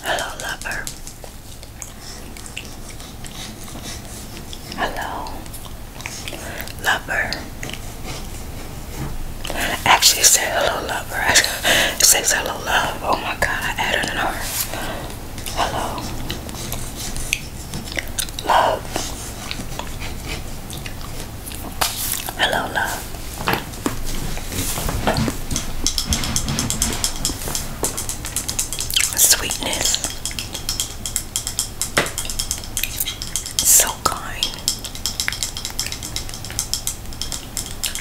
Hello, lover. Hello, lover. Actually, it said hello, lover. I said hello, love. Oh my god, I added an R. Hello, Love. Hello, love. Sweetness. So kind.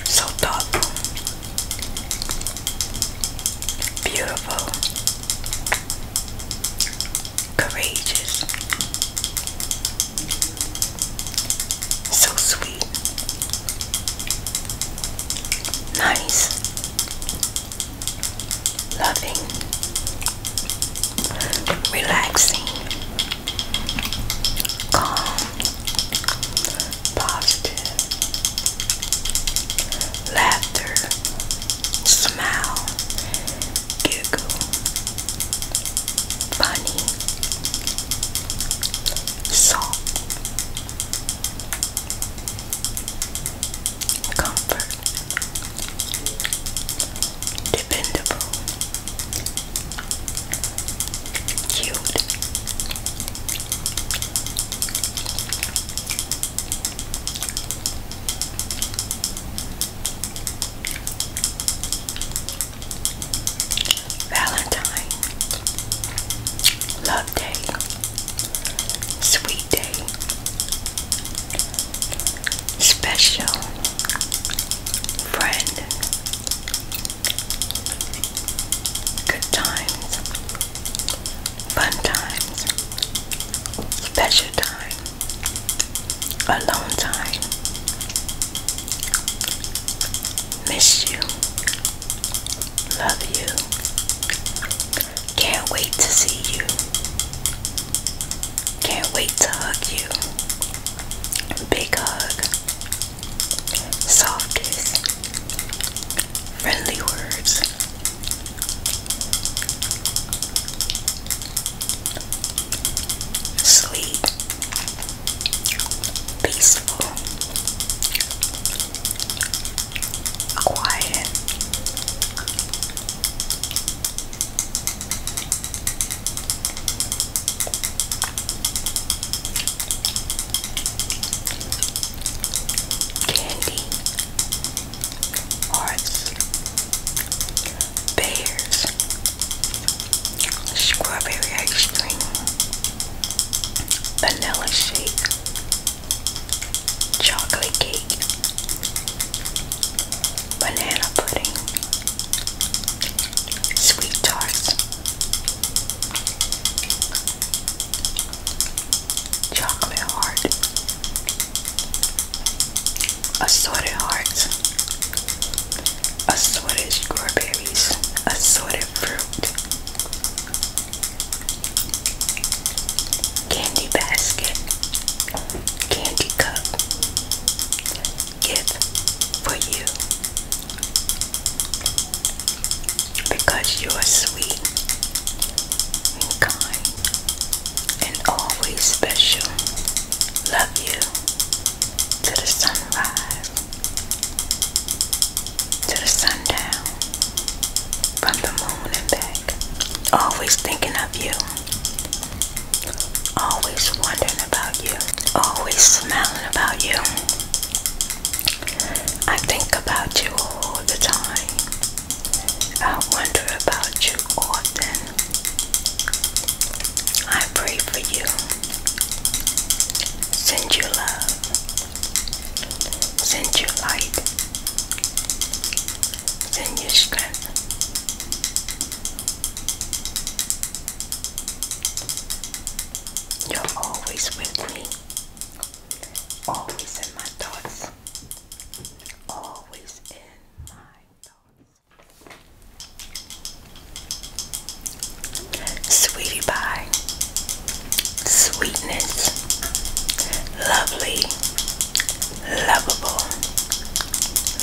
So thoughtful. Beautiful courageous, so sweet, nice, loving, relaxing, calm, positive laughter, smile, giggle, funny, soft, comfort, dependable, cute. Valentine, Love Day, Sweet Day, Special, Friend, Good Times, fun times, special time, alone time. Miss you, love you, can't wait to see you, can't wait to hug you. Big hug, soft kiss, friendly words. Sleep, peaceful, quiet candy, hearts, bears, strawberry ice cream, vanilla shake, chocolate cake, banana pudding, sweet tarts chocolate heart, assorted hearts, assorted strawberries, assorted fruit, candy basket, candy cup, gift for you because you are sweet and kind and always special. Love you to the sunrise, to the sundown, from the moon and back. Always thinking of you, always wondering about you, always smiling about you. I think about you all the time. I wonder about you often. I pray for you. Send you love. Send you light. Send you strength. You're always with me. Always in my thoughts. Always in my thoughts. Sweetie pie. Sweetness. Lovely. Lovable.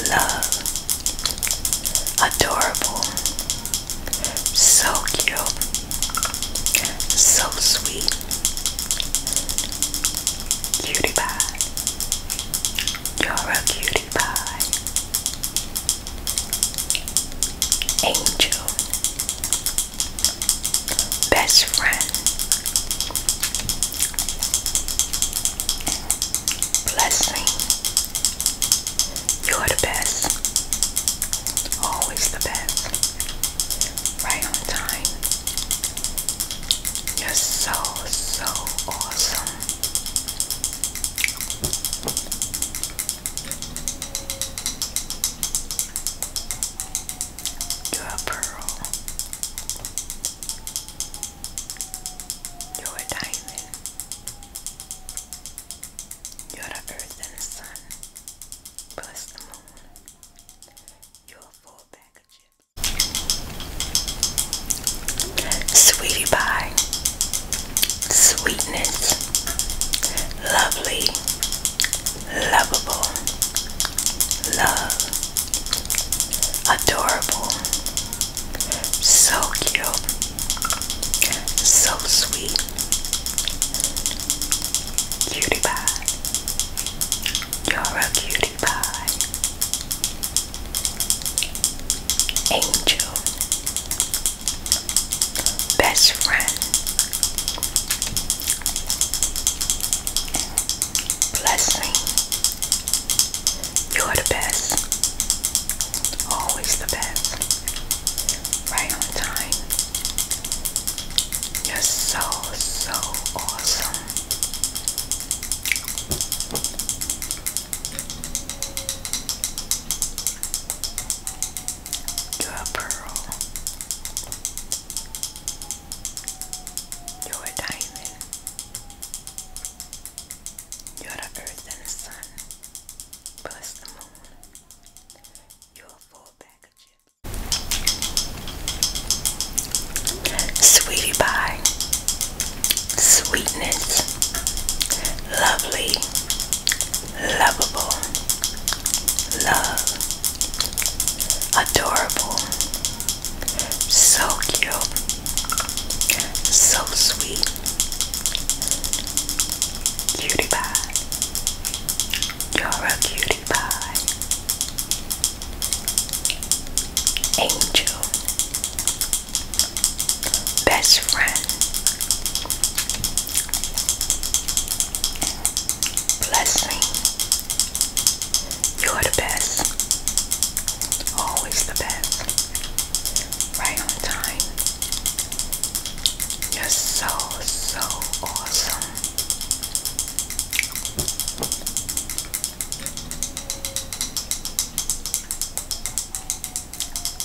Love. Adorable. So cute. So sweet. Cutie pie. You're a cutie pie. Angel. Best friend. Blessing. You're the best. Always the best. Right on time. You're so, so awesome. You're a pearl. You're a diamond. You're the earth and the sun, plus the moon. You're a full bag Sweetie pie, sweetness, lovely, lovable, love, adorable. So cute. So sweet. Cutie pie. You're a cutie pie. Angel. Best friend. Blessing. You're the best. Always the best. Right on time. You're so, so awesome. You're a pearl. You're a diamond. You are the earth and the sun, plus the moon. You are full bag Sweetie pie, sweetness, lovely, lovable, love, adorable, so cute. So sweet. Cutie pie. You're a cutie pie. Angel. Best friend. Blessing. You're the best. Always the best. Right on time. You're so, so awesome.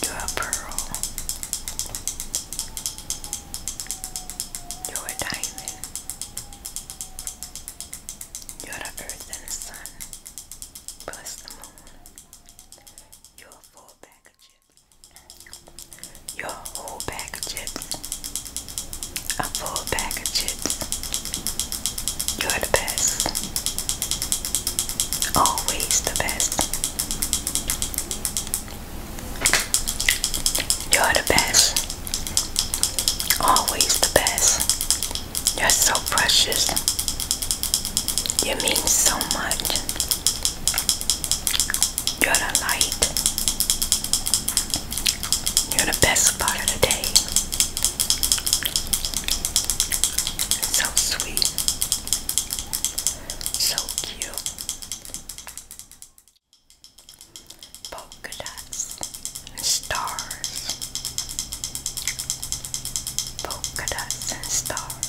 You're a pearl. You're a diamond. You're the earth and the sun plus the moon. Your full bag of chips. Your whole bag of chips. A full bag You're the best. Always the best. You're the best. Always the best. You're so precious. You mean so much. You're the light. You're the best part of the day. So sweet. So cute polka and stars. Polka and stars.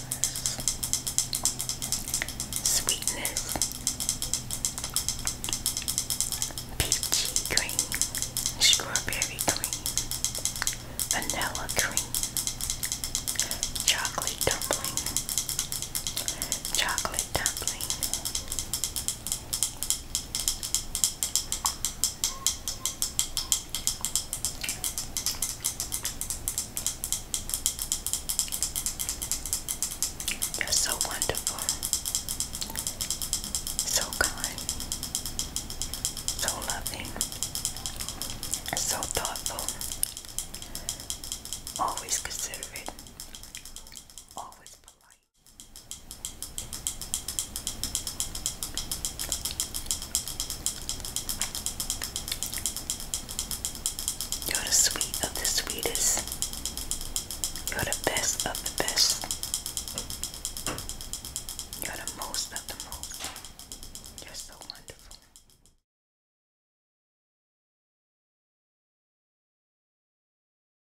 Sweetness. Peachy cream. Strawberry cream. Vanilla cream. Chocolate dumpling. Chocolate dumpling. You're so wonderful, so kind, so loving, so thoughtful, always considerate, always polite. You're the sweet of the sweetest. You're the best of the best. You're the most of the most. You're so wonderful.